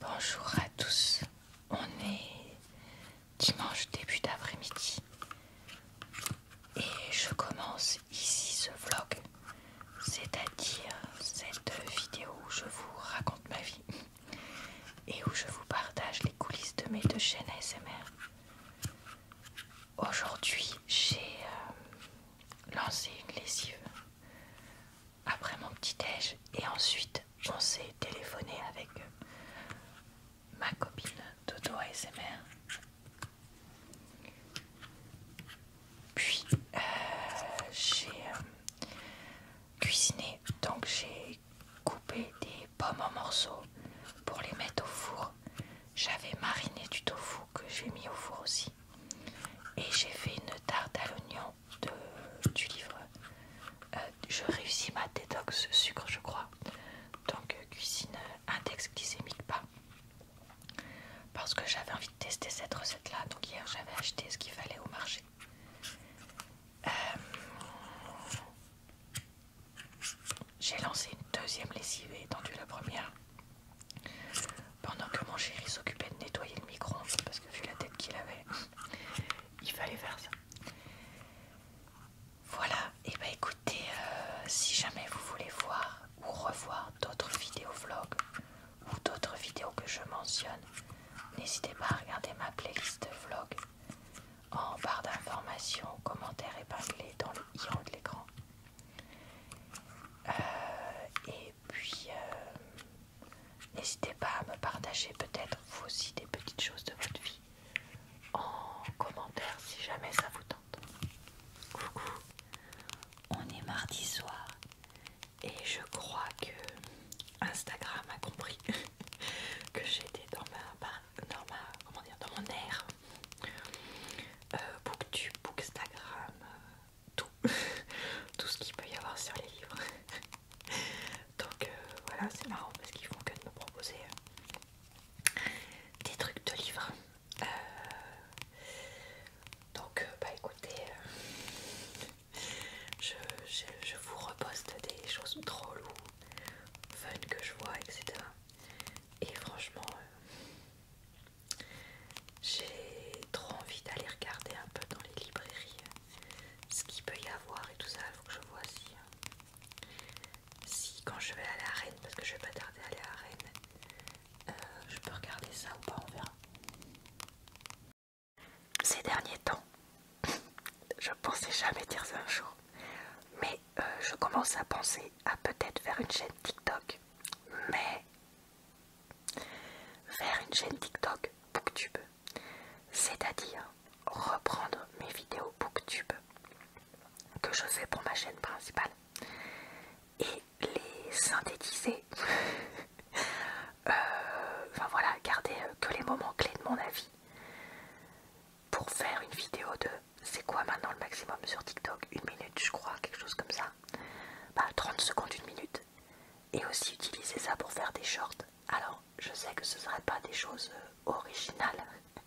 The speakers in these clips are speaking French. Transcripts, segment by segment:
Bonjour à tous, on est dimanche début d'après-midi et je commence ici ce vlog, c'est-à-dire cette vidéo où je vous raconte ma vie et où je vous partage les coulisses de mes deux chaînes ASMR. Aujourd'hui j'ai euh, lancé une lessive après mon petit déj et ensuite on s'est téléphoné avec euh, ma copine Dodo ASMR puis euh, j'ai euh, cuisiné donc j'ai coupé des pommes en morceaux pour les mettre au four j'avais mariné du tofu que j'ai mis au four aussi et j'ai fait une tarte à l'oignon du livre. Euh, je réussis ma détox sucre, je crois. Donc, cuisine index glycémique pas Parce que j'avais envie de tester cette recette-là. Donc, hier, j'avais acheté ce qu'il fallait au marché. Euh, j'ai lancé une deuxième lessive et étendu la première. Pendant que mon chéri s'occupait de nettoyer le micro-ondes, parce que vu la tête qu'il avait, il fallait faire ça. Voilà, et eh bah ben, écoutez, euh, si jamais vous voulez voir ou revoir d'autres vidéos vlog, ou d'autres vidéos que je mentionne, n'hésitez pas à regarder ma playlist vlog en barre d'informations, commentaires épinglés dans le i de l'écran. Euh, et puis, euh, N'hésitez pas à me partager peut-être vous aussi des petites choses de votre vie en commentaire si jamais ça vous tente. Coucou, on est mardi soir et je crois que Instagram a compris que j'étais dans ma, dans ma, comment dire, dans mon air. Euh, Booktube, Bookstagram, euh, tout, tout ce qu'il peut y avoir sur les livres. Donc euh, voilà, c'est marrant parce qu'ils font que de me proposer euh, des trucs de livres. Euh, donc bah écoutez, je, vous reposte des choses drôles ou fun que je vois, etc. Et franchement, j'ai trop envie d'aller regarder un peu dans les librairies ce qu'il peut y avoir et tout ça. Il faut que je vois euh, si, quand je vais aller à Rennes, parce que je vais pas tarder à aller à Rennes, euh, je peux regarder ça ou pas, on verra. Ces derniers temps, je pensais jamais dire ça un jour, mais euh, je commence à penser à peut-être faire une chaîne TikTok, mais faire une chaîne TikTok Booktube c'est-à-dire reprendre mes vidéos booktube que je fais pour ma chaîne principale et les synthétiser euh, enfin voilà garder euh, que les moments clés de mon avis pour faire une vidéo de c'est quoi maintenant le maximum sur TikTok une minute je crois quelque chose comme ça bah 30 secondes une minute et aussi utiliser ça pour faire des shorts. Alors, je sais que ce ne serait pas des choses euh, originales,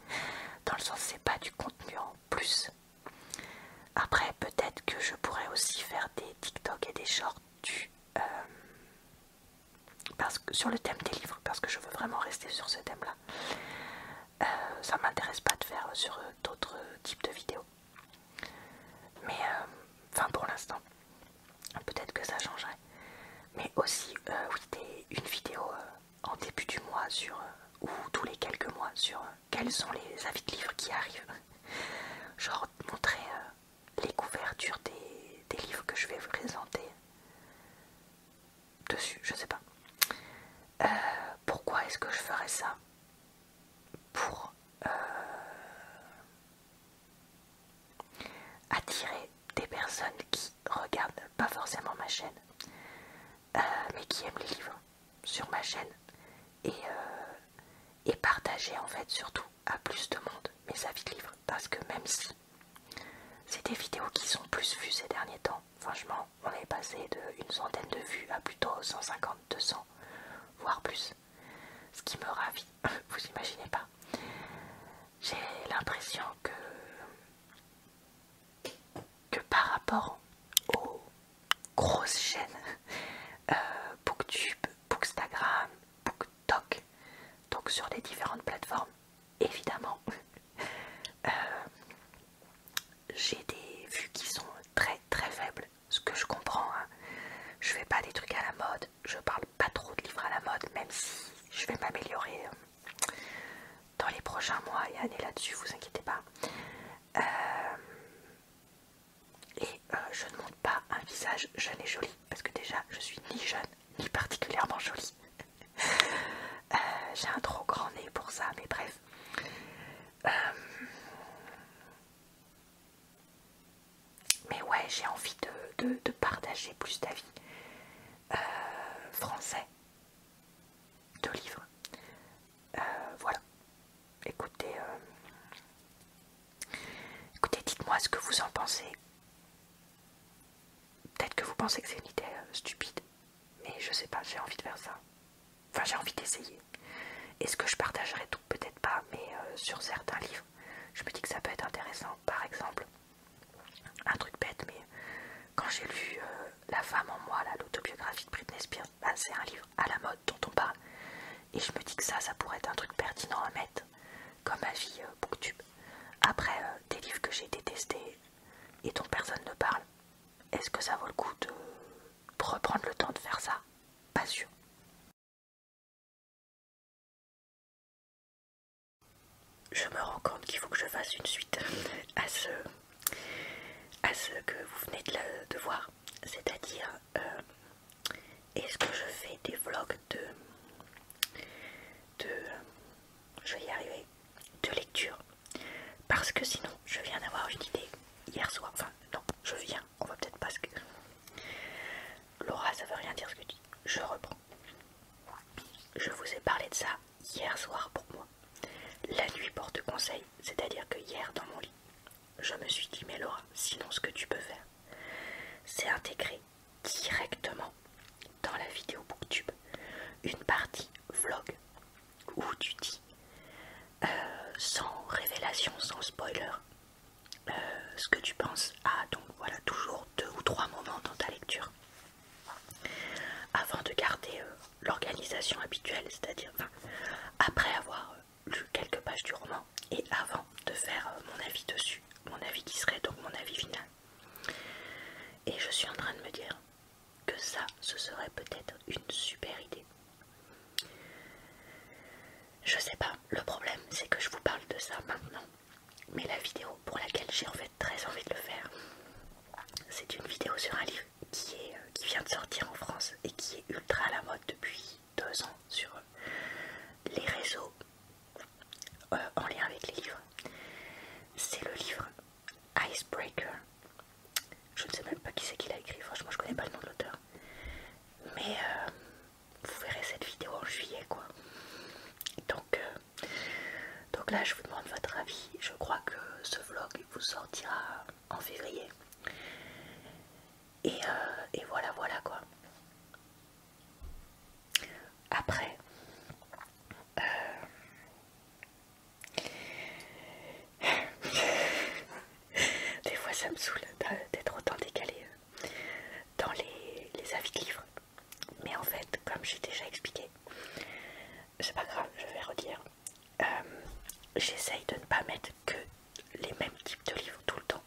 dans le sens c'est pas du contenu en plus. Après, peut-être que je pourrais aussi faire des TikTok et des shorts du, euh, parce sur le thème des livres, parce que je veux vraiment rester sur ce thème-là. Euh, ça m'intéresse pas de faire sur d'autres types de vidéos. Mais, enfin, pour l'instant peut-être que ça changerait. Mais aussi, euh, une vidéo euh, en début du mois sur, euh, ou tous les quelques mois sur quels sont les avis de livres qui arrivent. Genre montrer les couvertures des, livres que je vais vous présenter dessus, je sais pas. pourquoi est-ce que je ferais ça Pour attirer des personnes qui regardent pas forcément ma chaîne, euh, mais qui aiment les livres sur ma chaîne et, euh, et partager en fait surtout à plus de monde mes avis de livres parce que même si c'est des vidéos qui sont plus vues ces derniers temps, franchement on est passé de une centaine de vues à plutôt 150, 200 voire plus ce qui me ravit, vous imaginez pas. J'ai l'impression que, par rapport aux grosses chaînes euh, Booktube, Bookstagram, BookTok, donc sur les différentes plateformes, évidemment, euh, j'ai des vues qui sont très très faibles, ce que je comprends. Hein. Je fais pas des trucs à la mode, je parle pas trop de livres à la mode, même si je vais m'améliorer euh, dans les prochains mois et années là-dessus, vous inquiétez pas. Euh, et euh, je ne montre pas un visage jeune et joli, parce que déjà je suis ni jeune ni particulièrement jolie. J'ai un trop grand nez pour ça, mais bref. Mais ouais, j'ai envie de, partager plus d'avis euh, français de livres. Euh, voilà. Écoutez, euh, écoutez, dites-moi ce que vous en pensez. Peut-être que vous pensez que c'est une idée stupide, mais je sais pas, j'ai envie de faire ça. Enfin, j'ai envie d'essayer. Est-ce que je partagerai tout Peut-être pas, mais sur certains livres, je me dis que ça peut être intéressant par exemple, un truc bête, mais quand j'ai lu euh, La femme en moi, l'autobiographie de Britney Spears, bah, c'est un livre à la mode dont on parle. Et je me dis que ça, ça pourrait être un truc pertinent à mettre comme avis booktube. Euh, Après, euh, des livres que j'ai détestés et dont personne ne parle, est-ce que ça vaut le coup de reprendre le temps de faire ça Pas sûr. Je me rends compte qu'il faut que je fasse une suite à ce, à ce que vous venez de, voir. C'est-à-dire, euh, est-ce que je fais des vlogs de, de... Je vais y arriver. De lecture. Parce que sinon, je viens d'avoir une idée hier soir. Enfin, non, je viens. On va peut-être pas que Laura, ça veut rien dire ce que tu dis. Je reprends. Je vous ai parlé de ça hier soir pour moi. La nuit porte conseil, c'est-à-dire que hier dans mon lit, je me suis dit, mais Laura, sinon ce que tu peux faire, c'est intégrer directement dans la vidéo Booktube une partie vlog où tu dis, euh, sans révélation, sans spoiler, euh, ce que tu penses à ah, donc voilà toujours deux ou trois moments dans ta lecture avant de garder euh, l'organisation habituelle c'est à dire après avoir euh, lu quelques pages du roman et avant de faire mon avis dessus mon avis qui serait donc mon avis final et je suis en train de me dire que ça ce serait peut-être une super idée je sais pas, le problème c'est que je vous parle de ça maintenant mais la vidéo pour laquelle j'ai en fait très envie de le faire, c'est une vidéo sur un livre qui, est, euh, qui vient de sortir en France et qui est ultra à la mode depuis deux ans sur euh, les réseaux euh, en lien avec les livres. C'est le livre Icebreaker. Je ne sais même pas qui c'est qui l'a écrit, franchement je connais pas le nom de l'auteur. Mais vous verrez cette vidéo en juillet quoi. Donc, euh, donc là je vous demande votre avis. Je crois que ce vlog vous sortira en février. Et, euh, voilà voilà quoi. Après, euh, des fois ça me saoule d'être autant décalé dans les, avis de livres. Mais en fait, comme j'ai déjà expliqué, c'est pas grave, je vais redire. Euh, j'essaye de ne pas mettre que les mêmes types de livres tout le temps.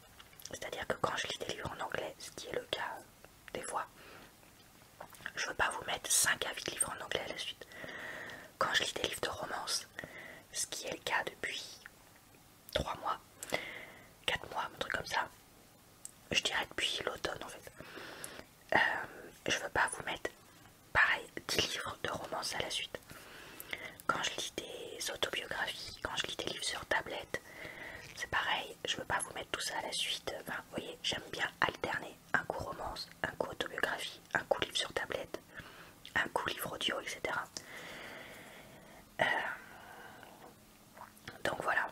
C'est-à-dire que quand je lis des livres en anglais, ce qui est le cas des fois, je veux pas vous mettre 5 avis de livres en anglais à la suite. Quand je lis des livres de romance, ce qui est le cas depuis 3 mois, 4 mois, un truc comme ça. Je dirais depuis l'automne en fait. Euh, je veux pas vous mettre pareil 10 livres de romance à la suite. Quand je lis des autobiographies, quand je lis des livres sur tablette, c'est pareil, je veux pas vous mettre tout ça à la suite. Enfin, vous voyez, j'aime bien alterner un coup romance, un coup autobiographie, un coup livre sur tablette, un coup livre audio, etc. Donc voilà.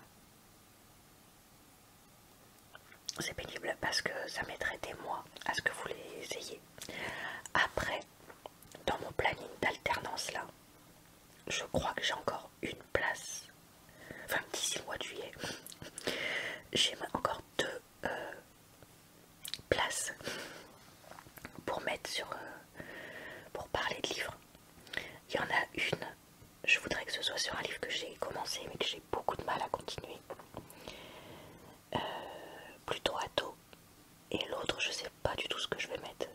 C'est pénible parce que ça mettrait des mois à ce que vous les ayez. Après, dans mon planning d'alternance là, je crois que j'ai encore une place. Enfin, d'ici le mois de juillet, j'ai encore deux euh, places pour mettre sur. Euh, pour parler de livres. Il y en a une, je voudrais que ce soit sur un livre que j'ai commencé mais que j'ai beaucoup de mal à continuer. Euh, plutôt à tôt. Et l'autre, je sais pas du tout ce que je vais mettre.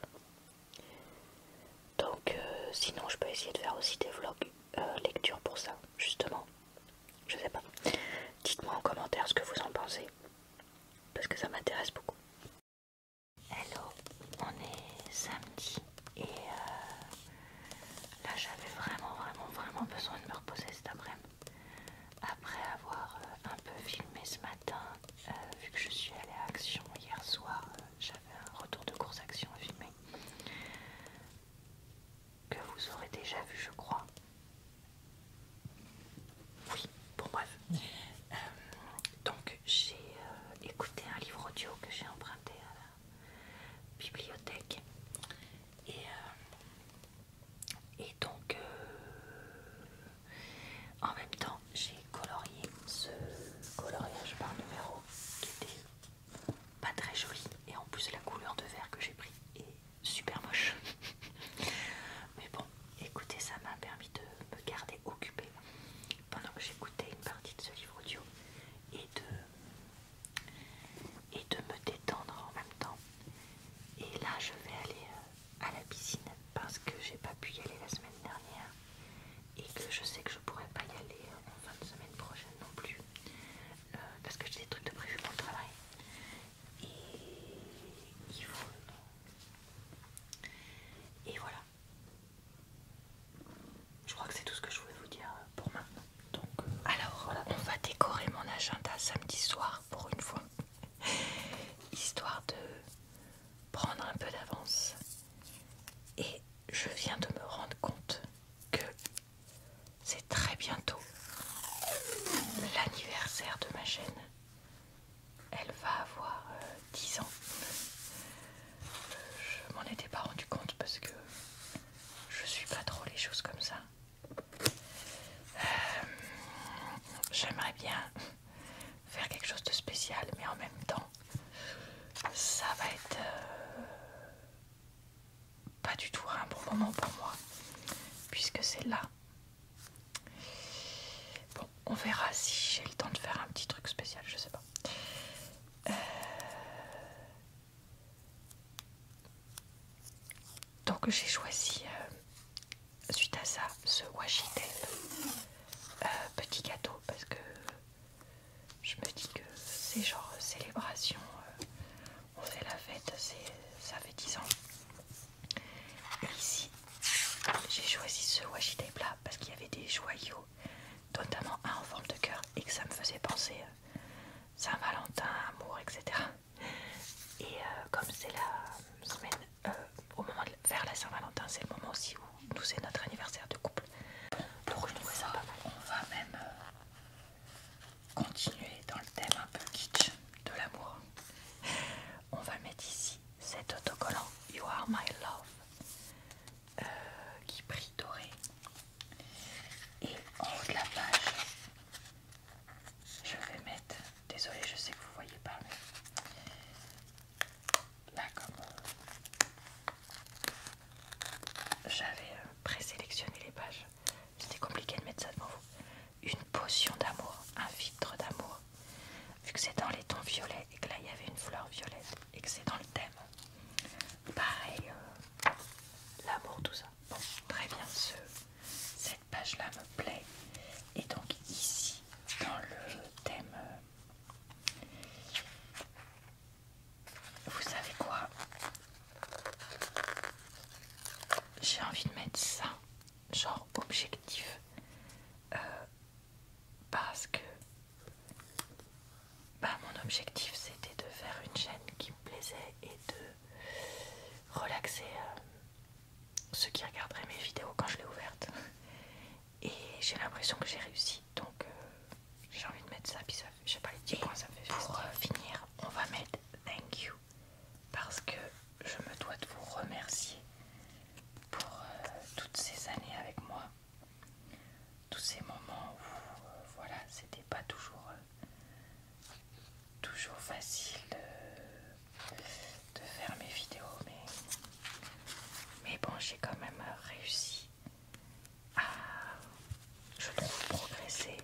Donc euh, sinon je peux essayer de faire aussi des vlogs euh, lecture pour ça, justement. Je sais pas. Dites-moi en commentaire ce que vous en pensez. Parce que ça m'intéresse beaucoup. Hello, on est samedi et euh, là j'avais vraiment vraiment vraiment besoin de me reposer cet après-midi. Après avoir euh, un peu filmé ce matin, euh, vu que je suis allée à Action hier soir, j'avais un retour de course Action à filmer que vous aurez déjà vu je crois. Oui, bon bref. Donc j'ai euh, écouté un livre audio que j'ai emprunté à la bibliothèque et, euh, et donc euh, en même temps j'ai colorié ce coloriage par numéro qui était pas très joli et en plus la couleur de verre que j'ai pris est super moche mais bon écoutez ça m'a permis de me garder occupé occupée pendant que j'écoutais une partie de ce livre audio et de, et de me détendre en même temps. Et là, je vais aller euh, à la piscine parce que j'ai pas pu y aller la semaine dernière et que je sais que je pourrais pas y aller euh, en fin de semaine prochaine non plus euh, parce que j'ai des trucs de prévu pour le travail. Et il faut. Et voilà. Je crois que c'est tout ce que je voulais vous dire pour maintenant. Donc, euh, Alors, on va décorer mon agenda samedi soir pour une fois, histoire de prendre un peu d'avance. Et je viens de me rendre compte que c'est très bientôt l'anniversaire de ma chaîne elle va avoir euh, dix 10 ans. Euh, je m'en étais pas rendu compte parce que je suis pas trop les choses comme ça. Euh, j'aimerais bien faire quelque chose de spécial, mais en même temps, ça va être pas du tout un bon moment pour moi, puisque c'est là. Bon, on verra si j'ai le temps de faire un petit truc spécial, je sais pas. Euh, donc j'ai choisi, euh, suite à ça, ce washi euh, petit gâteau parce que je me dis que c'est genre célébration, on fait la fête, ça fait 10 ans. Et ici, j'ai choisi ce tape là, parce qu'il y avait des joyaux notamment un en forme de cœur et que ça me faisait penser euh, Saint-Valentin, amour, etc. Et euh, comme c'est la semaine, euh, au moment de, faire la Saint-Valentin, c'est le moment aussi où nous c'est notre anniversaire de couple. Donc je trouvais ça On va même continuer dans le thème un peu kitsch de l'amour. On va mettre ici cet autocollant You Are My Love euh, qui brille doré. Et en haut de la page, je vais mettre, désolé je sais que vous voyez pas, mais là comme euh, j'avais euh, présélectionné les pages, c'était compliqué de mettre ça devant vous. Une potion d'amour, un filtre d'amour, vu que c'est dans les tons violets et que là il y avait une fleur violette et que c'est dans le thème. Pareil, euh, l'amour, tout ça. Bon, très bien, ce, cette page-là me plaît. Et donc ici, dans le thème, euh, vous savez quoi J'ai envie de mettre ça, genre objectif, euh, parce que bah, mon objectif c'était de faire une chaîne qui me plaisait et de relaxer euh, ceux qui regarderaient mes vidéos quand je l'ai ouverte. Et j'ai l'impression que j'ai réussi, donc euh, j'ai envie de mettre ça, puis ça pas, les 10 points ça fait Pour euh, finir, on va mettre thank you, parce que je me dois de vous remercier pour toutes ces années avec moi tous ces moments où euh, voilà c'était pas toujours euh, toujours facile de, faire mes vidéos mais mais bon j'ai quand même réussi à je trouve progresser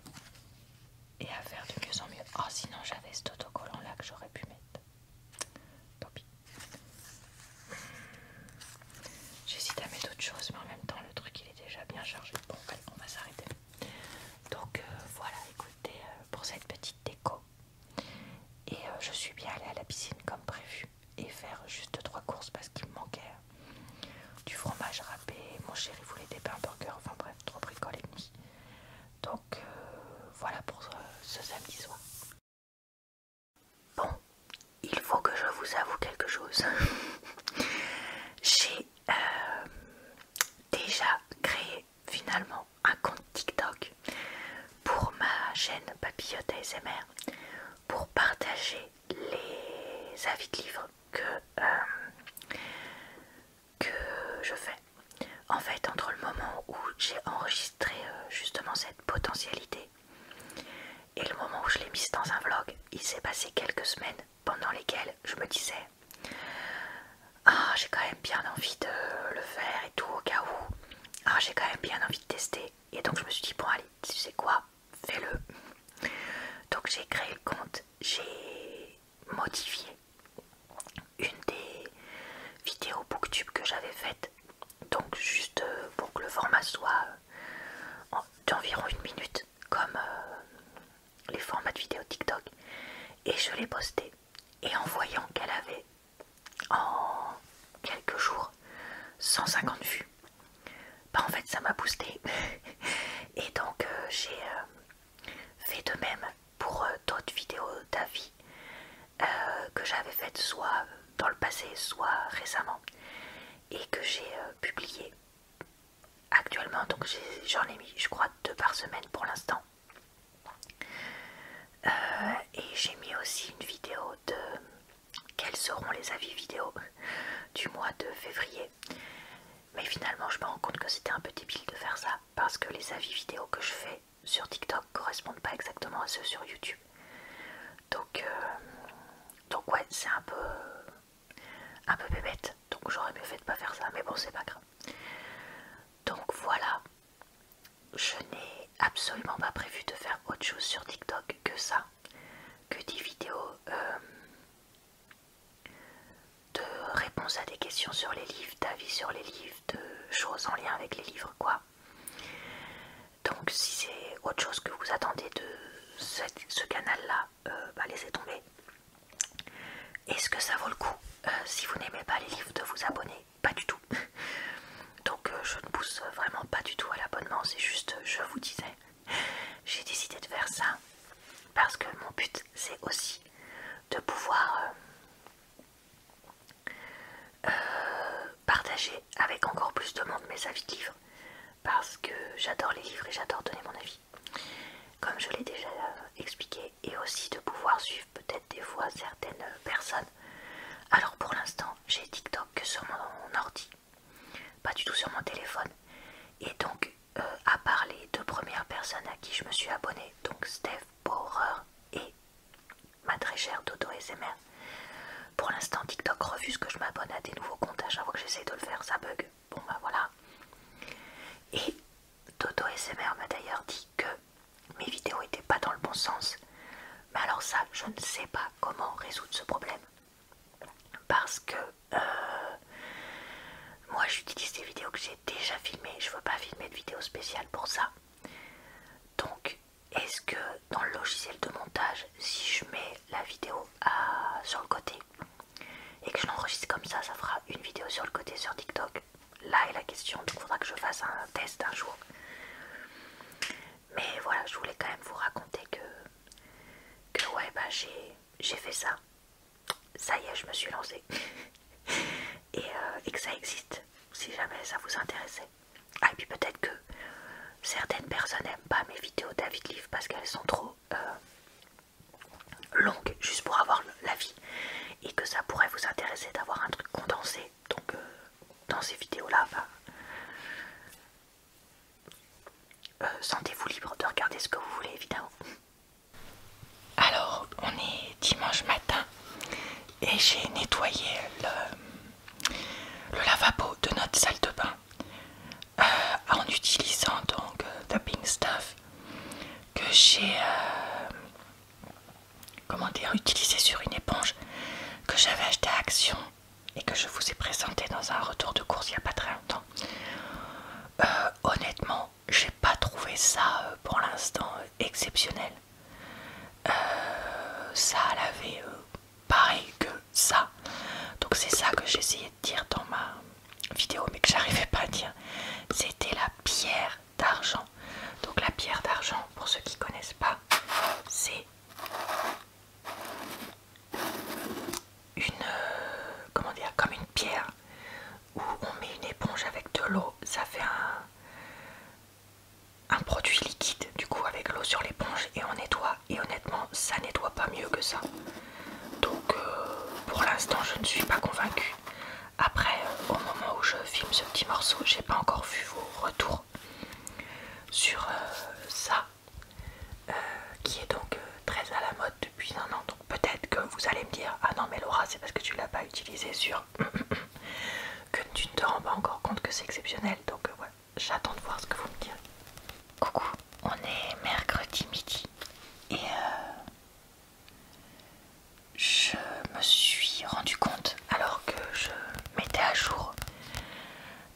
et à faire de mieux en mieux oh sinon j'avais cet autocollant là que j'aurais pu mettre tant pis J'hésite à mettre d'autres choses mais en même temps, le truc il est déjà bien chargé. Bon, on va s'arrêter. Donc euh, voilà, écoutez, euh, pour cette petite déco. Et euh, je suis bien allée à la piscine comme prévu et faire juste trois courses parce qu'il me manquait du fromage râpé. Mon chéri voulait des pains burgers, enfin bref, trop bricoles et demi. Donc voilà pour ce samedi soir. Bon, il faut que je vous avoue quelque chose. J'ai euh, déjà créé finalement un compte TikTok pour ma chaîne Papillote ASMR pour partager les avis de livres euh, que, je fais. En fait, entre le moment où j'ai enregistré euh, justement cette potentialité et le moment où je l'ai mise dans un vlog, il s'est passé quelques semaines pendant lesquelles je me disais Ah, j'ai quand même bien envie de le faire et tout, au cas où. Ah, j'ai quand même bien envie de tester. Et donc, je me suis dit Bon, allez, tu sais quoi Fais-le. Donc, j'ai créé le compte, j'ai modifié une des vidéos booktube que j'avais faite donc juste euh, pour que le format soit euh, d'environ une minute comme euh, les formats de vidéo TikTok et je l'ai posté et en voyant qu'elle avait en quelques jours 150 vues bah en fait ça m'a boosté et donc j'ai fait de même pour d'autres vidéos d'avis euh, que j'avais faites soit dans le passé, soit récemment, et que j'ai euh, publié actuellement. Donc j'en ai, mis, je crois, deux par semaine pour l'instant. Euh, et j'ai mis aussi une vidéo de quels seront les avis vidéo du mois de février. Mais finalement, je me rends compte que c'était un peu débile de faire ça parce que les avis vidéo que je fais sur TikTok correspondent pas exactement à ceux sur YouTube. Euh, donc, ouais, c'est un peu, un peu bébête. Donc j'aurais mieux fait de pas faire ça, mais bon, c'est pas grave. Donc voilà, je n'ai absolument pas prévu de faire autre chose sur TikTok que ça, que des vidéos euh, de réponses à des questions sur les livres, d'avis sur les livres, de choses en lien avec les livres, quoi. Donc si c'est autre chose que vous attendez de ce, canal-là, euh, bah, laissez tomber. Est-ce que ça vaut le coup euh, Si vous n'aimez pas les livres, de vous abonner Pas du tout. Donc euh, je ne pousse vraiment pas du tout à l'abonnement, c'est juste, je vous disais, j'ai décidé de faire ça parce que mon but c'est aussi de pouvoir partager avec encore plus de monde mes avis de livres parce que j'adore les livres et j'adore donner mon avis comme je l'ai déjà euh, expliqué et aussi de pouvoir suivre peut-être des fois certaines personnes alors pour l'instant j'ai TikTok que sur mon ordi pas du tout sur mon téléphone et donc euh, à part les deux premières personnes à qui je me suis abonnée donc Steph Borer et ma très chère Toto SMR. Pour l'instant, TikTok refuse que je m'abonne à des nouveaux comptes à chaque que j'essaye de le faire, ça bug. Bon bah voilà. Et Toto SMR m'a d'ailleurs dit que mes vidéos n'étaient pas dans le bon sens. Mais alors ça, je ne sais pas comment résoudre ce problème. Parce que euh, moi j'utilise des vidéos que j'ai déjà filmées. Je ne veux pas filmer de vidéos spéciales pour ça. Donc est-ce que dans le logiciel de montage, si je mets la vidéo euh, sur le côté et que je l'enregistre comme ça, ça fera une vidéo sur le côté sur TikTok Là est la question, donc il faudra que je fasse un test un jour. Mais voilà, je voulais quand même vous raconter que, que ouais, bah, j'ai fait ça. Ça y est, je me suis lancée. Euh, et que ça existe, si jamais ça vous intéressait. Ah, puis peut-être que certaines personnes n'aiment pas mes vidéos de Livre parce qu'elles sont trop euh, longues, juste pour avoir l'avis, et que ça pourrait vous intéresser d'avoir un truc condensé. Donc, euh, dans ces vidéos-là, bah, euh, sentez-vous libre de regarder ce que vous voulez, évidemment. Alors, on est dimanche matin et j'ai nettoyé le le lavabo de notre salle de bain euh, en utilisant donc du euh, Stuff que j'ai euh, comment dire utilisé sur une éponge que j'avais acheté à Action et que je vous ai présenté dans un retour de course il n'y a pas très longtemps. honnêtement, j'ai pas trouvé ça pour l'instant exceptionnel. ça l'avait pareil que ça. Donc c'est ça que j'essayais de dire dans ma vidéo mais que j'arrivais pas à dire. C'était la pierre d'argent. Donc la pierre d'argent, pour ceux qui connaissent pas, c'est une euh, comment dire comme une pierre où on met une éponge avec de l'eau, ça fait un un produit liquide du coup avec l'eau sur l'éponge et on nettoie et honnêtement ça nettoie pas mieux que ça donc euh, pour l'instant je ne suis pas convaincue après euh, au moment où je filme ce petit morceau j'ai pas encore vu vos retours sur euh, ça qui est donc très à la mode depuis un an donc peut-être que vous allez me dire ah non mais Laura c'est parce que tu l'as pas utilisé sur que tu ne te rends pas encore compte que c'est exceptionnel donc ouais j'attends de voir ce que vous me direz. Coucou, on est mercredi midi et euh, je me suis rendu compte alors que je mettais à jour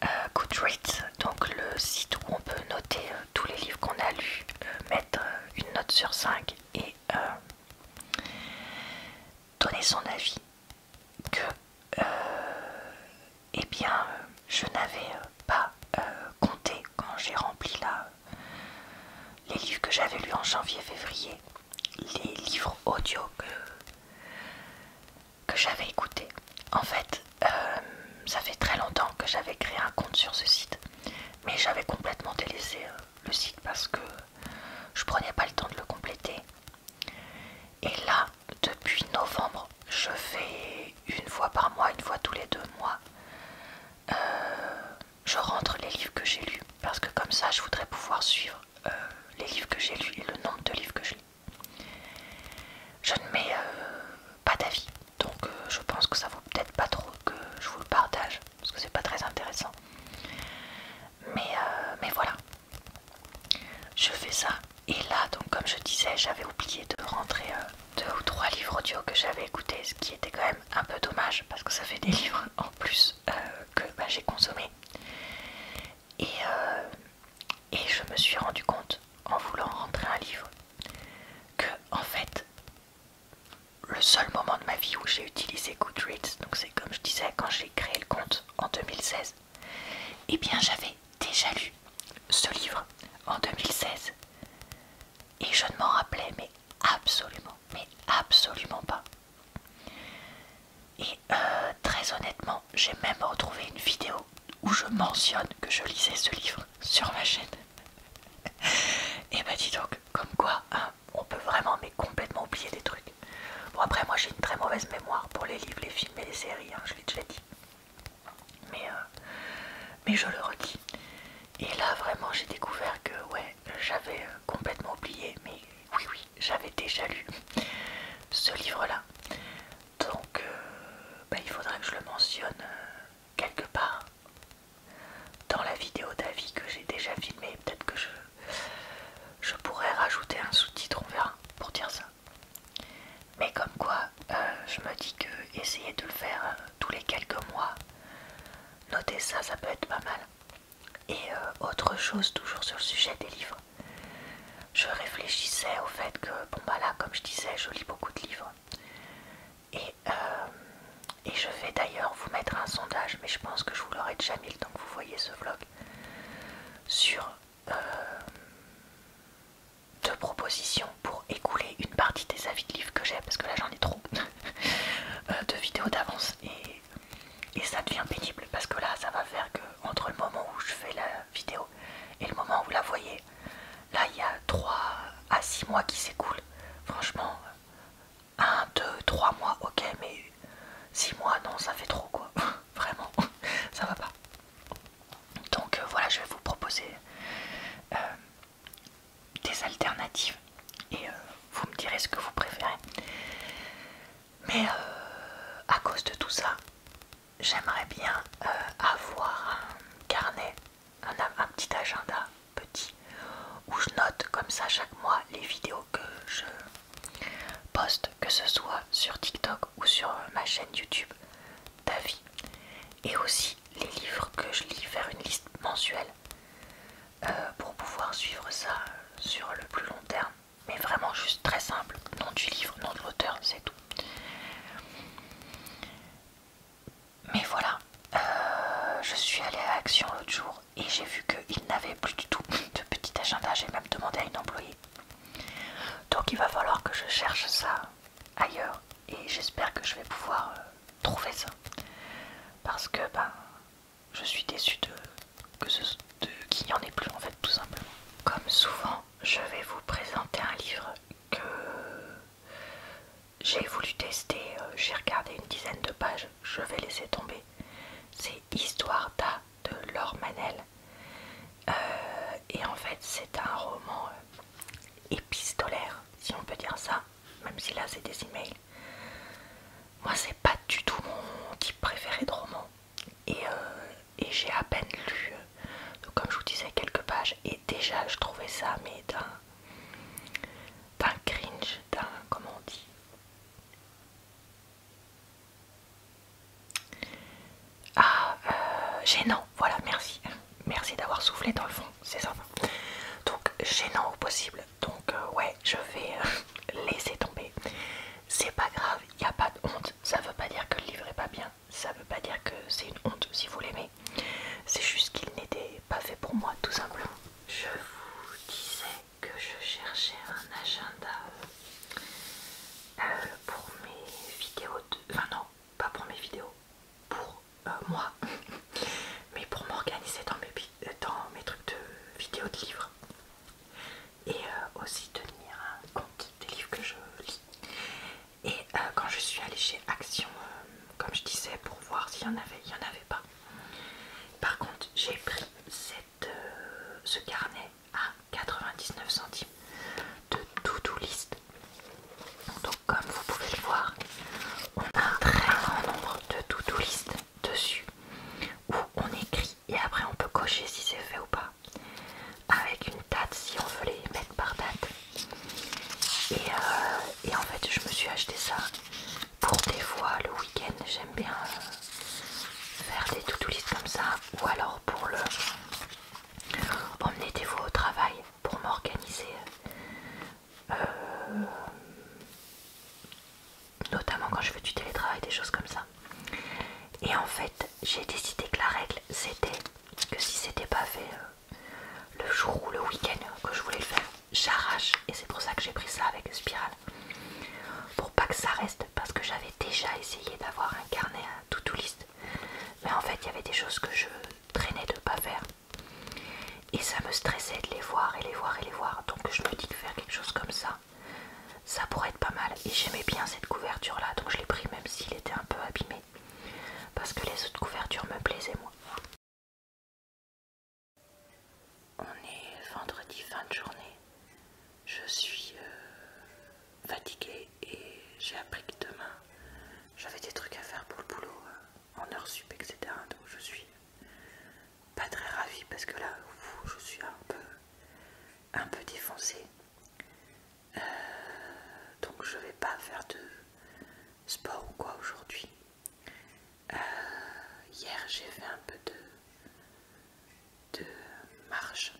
euh, Goodreads, donc le site où on peut noter euh, tous les livres qu'on a lus, mettre une note sur 5 et donner son avis que, euh, eh bien, euh, je n'avais euh, pas compté quand j'ai rempli les livres que j'avais lus en janvier-février, les livres audio que, j'avais écoutés. En fait, ça fait très longtemps que j'avais créé un compte sur ce site, mais j'avais complètement délaissé le site parce que je ne prenais pas le temps de le compléter. Et là, depuis novembre, je fais une fois par mois, une fois tous les deux mois, euh, je rentre les livres que j'ai lus. Parce que comme ça, je voudrais pouvoir suivre euh, les livres que j'ai lus et le nombre de livres que je lis. Je ne mets euh, pas d'avis, donc je pense que ça vaut peut-être pas trop que je vous le partage, parce que c'est pas très intéressant. Mais, mais voilà, je fais ça. Et là, donc comme je disais, j'avais oublié de rentrer euh, deux ou trois livres audio que j'avais écoutés, ce qui était quand même un peu dommage parce que ça fait des livres en plus euh, que bah, j'ai consommé. Et, euh, et je me suis rendu compte en voulant rentrer un livre que en fait le seul moment de ma vie où j'ai utilisé Goodreads, donc c'est comme je disais quand j'ai créé le compte en 2016, eh bien, j'avais déjà lu ce livre en 2016 et je ne m'en rappelais, mais absolument, mais absolument pas. Et euh, très honnêtement, j'ai même retrouvé une vidéo où je mentionne que je lisais ce livre sur ma chaîne. et eh bah ben, dis donc, comme quoi, hein, on peut vraiment mais complètement oublier des trucs. Bon après moi j'ai une très mauvaise mémoire pour les livres, les films et les séries, hein, je l'ai déjà dit. Euh, mais, je le redis. Et là vraiment j'ai découvert que ouais j'avais euh, complètement oublié mais oui oui j'avais déjà lu ce livre là donc euh, bah, il faudrait que je le mentionne quelque part dans la vidéo d'avis que j'ai déjà filmée peut-être que je, je pourrais rajouter un sous-titre on verra pour dire ça mais comme quoi, euh, je me dis que essayer de le faire euh, tous les quelques mois, notez ça, ça peut être pas mal. Et euh, autre chose, toujours sur le sujet des livres, je réfléchissais au fait que, bon bah là, comme je disais, je lis beaucoup de livres. Et, et je vais d'ailleurs vous mettre un sondage, mais je pense que je vous l'aurai déjà mis le temps que vous voyez ce vlog, sur euh, de propositions pour écouler une partie des avis de livres que j'ai parce que là j'en ai trop euh, de vidéos d'avance et, et ça devient pénible parce que là ça va faire que entre le moment où je fais la vidéo et le moment où vous la voyez là il y a 3 à 6 mois qui s'écoulent franchement 1, 2, 3 mois ok mais 6 mois non ça fait trop quoi vraiment ça va pas donc euh, voilà, je vais vous proposer euh, des alternatives et euh, vous me direz ce que vous préférez. Mais à cause de tout ça, j'aimerais bien avoir un carnet, un petit agenda petit où je note comme ça chaque mois les vidéos que je poste que ce soit sur TikTok ou sur euh, ma chaîne YouTube, ta vie. Et aussi les livres que je lis, vers une liste mensuelle euh, pour pouvoir suivre ça euh, sur le plus long terme. Mais vraiment juste très simple, nom du livre, nom de l'auteur, c'est tout. Mais voilà, je suis allée à Action l'autre jour et j'ai vu qu'il n'avait plus du tout de petit agenda. J'ai même demandé à une employée donc il va falloir que je cherche ça ailleurs et j'espère que je vais pouvoir euh, trouver ça. Parce que ben, je suis déçue qu'il n'y en ait plus en fait tout simplement. Comme souvent, je vais vous présenter un livre que j'ai voulu tester, euh, j'ai regardé une dizaine de pages, je vais laisser tomber. C'est Histoire d'A de Laure Manel. Euh, et en fait, c'est un roman euh, épistolaire, si on peut dire ça, même si là c'est des emails. Moi, c'est pas du tout mon type préféré de roman. Et, euh, j'ai à peine lu, comme je vous disais, quelques pages. Et déjà, je trouvais ça, mais d'un cringe, d'un. Comment on dit ah, euh, gênant, voilà, merci. Merci d'avoir soufflé dans le fond, c'est ça, Donc, gênant au possible. Donc, euh, ouais, je vais euh, laisser tomber. C'est pas grave, il n'y a pas de honte. Ça veut pas dire que le livre est pas bien. Ça veut pas dire que c'est une honte si vous l'aimez. C'est juste qu'il n'était pas fait pour moi, tout simplement. Je vous disais que je cherchais un agenda pour mes vidéos Enfin non, pas pour mes vidéos, pour euh, moi, mais pour m'organiser dans mes, euh, dans mes trucs de vidéos de livres. Et euh, aussi tenir un compte des livres que je lis. Et quand je suis allée chez Action, comme je disais, pour voir s'il y en avait, il n'y en avait pas. Par contre, j'ai pris cette, ce carnet à 99 centimes de tout do list. Donc comme vous pouvez le voir, on a un très grand nombre de tout do list dessus où on écrit et après on peut cocher si c'est fait ou pas avec une date si on veut les mettre par date. Et, euh, en fait je me suis acheté ça pour des fois le week-end j'aime bien euh, faire des tout do list comme ça ou alors pour le Emmenez des vous au travail pour m'organiser, euh, notamment quand je fais du télétravail, des choses comme ça. Et en fait, j'ai décidé que la règle c'était que si c'était pas fait euh, le jour ou le week-end que je voulais le faire, j'arrache. Et c'est pour ça que j'ai pris ça avec Spirale, pour pas que ça reste, parce que j'avais déjà essayé d'avoir un carnet tout tout Mais en fait, il y avait des choses que je traînais de pas faire. Et ça me stressait de les voir et les voir et les voir. Donc je me dis de faire quelque chose comme ça. Ça pourrait être pas mal. Et j'aimais bien cette couverture là. Donc je l'ai pris même s'il était un peu abîmé. Parce que les autres couvertures me plaisaient moins On est vendredi fin de journée je suis euh, fatiguée et j'ai appris que demain j'avais des trucs à faire pour le boulot euh, en heure sup, etc. Donc je suis pas très ravie parce que là, je suis un peu, un peu défoncée. Euh, donc je vais pas faire de sport ou quoi aujourd'hui. hier j'ai fait un peu de, de marche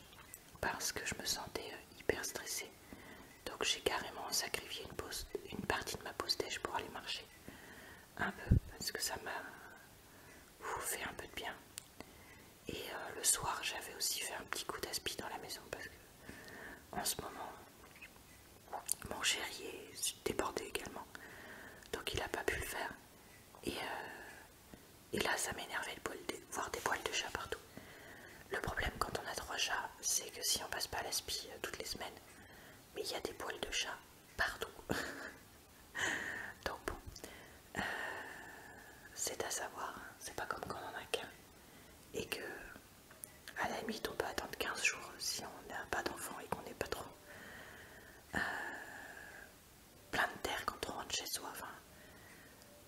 parce que je me sentais euh, hyper stressée. Donc j'ai carrément sacrifié une, partie de ma pause déj pour aller marcher. Un peu, parce que ça m'a fait un peu de bien. Et euh, le soir, j'avais aussi fait un petit coup d'aspi dans la maison parce que en ce moment, mon chéri est débordé également. Donc il a pas pu le faire. Et euh, et là, ça m'énervait de voir des poils de chat partout. Le problème quand on a trois chats, c'est que si on passe pas à l'aspi euh, toutes les semaines, mais il y a des poils de chat partout. Donc bon, euh, c'est à savoir, hein. c'est pas comme quand on en a qu'un. Et que, à la limite, on peut attendre 15 jours si on n'a pas d'enfant et qu'on n'est pas trop euh, plein de terre quand on rentre chez soi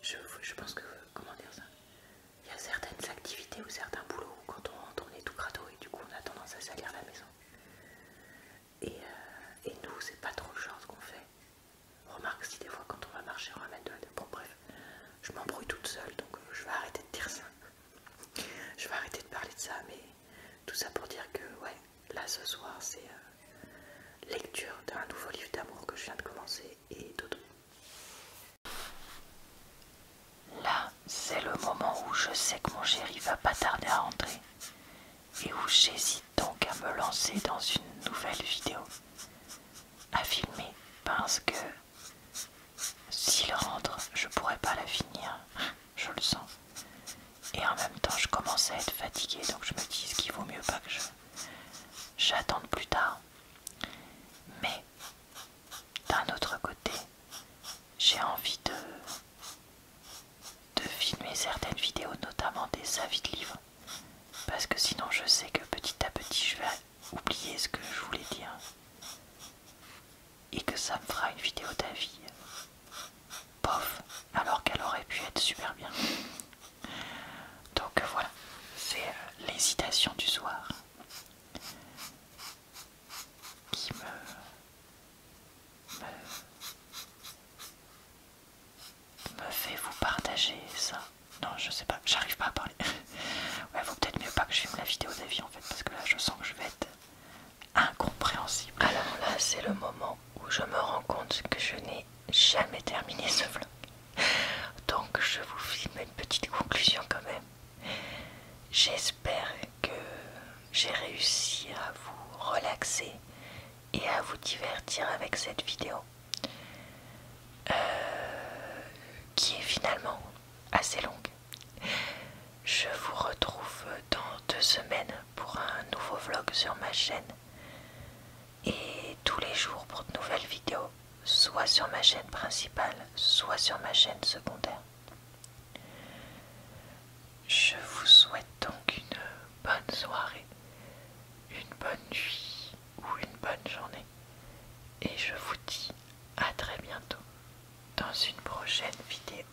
je, pense que, comment dire ça, il y a certaines activités ou certains boulots où quand on est tout crado et du coup on a tendance à salir la maison. Euh, et, nous c'est pas trop le genre ce qu'on fait. Remarque si des fois quand on va marcher on ramène de la... Bon bref, je m'embrouille toute seule donc euh, je vais arrêter de dire ça. Je vais arrêter de parler de ça mais tout ça pour dire que ouais, là ce soir c'est... Euh, lecture d'un nouveau livre d'amour que je viens de commencer Là, c'est le moment où je sais que mon chéri va pas tarder à rentrer et où j'hésite donc à me lancer dans une nouvelle vidéo à filmer parce que s'il rentre, je pourrais pas la finir, je le sens. Et en même temps, je commence à être fatiguée donc je me dis qu'il vaut mieux pas que je j'attende plus tard. Mais d'un autre côté, j'ai envie de, de filmer certaines vidéos, notamment des avis de livres, parce que sinon je sais que petit à petit je vais oublier ce que je voulais dire et que ça me fera une vidéo d'avis. Pof, euh, alors qu'elle aurait pu être super bien. Donc euh, voilà, c'est euh, l'hésitation du soir qui me, fait vous partager ça. Non, je sais pas, j'arrive pas à parler. ouais, vaut peut-être mieux pas que je filme la vidéo d'avis en fait, parce que là je sens que je vais être incompréhensible. Alors là, c'est le moment où je me rends compte que je n'ai jamais terminé ce vlog. Donc je vous filme une petite conclusion quand même. J'espère que j'ai réussi à vous relaxer et à vous divertir avec cette vidéo. Euh, qui est finalement assez longue. Je vous retrouve dans deux semaines pour un nouveau vlog sur ma chaîne et tous les jours pour de nouvelles vidéos, soit sur ma chaîne principale, soit sur ma chaîne secondaire. Je vous souhaite donc une bonne soirée, une bonne nuit ou une bonne journée et je vous dis à très bientôt dans une prochaine vidéo.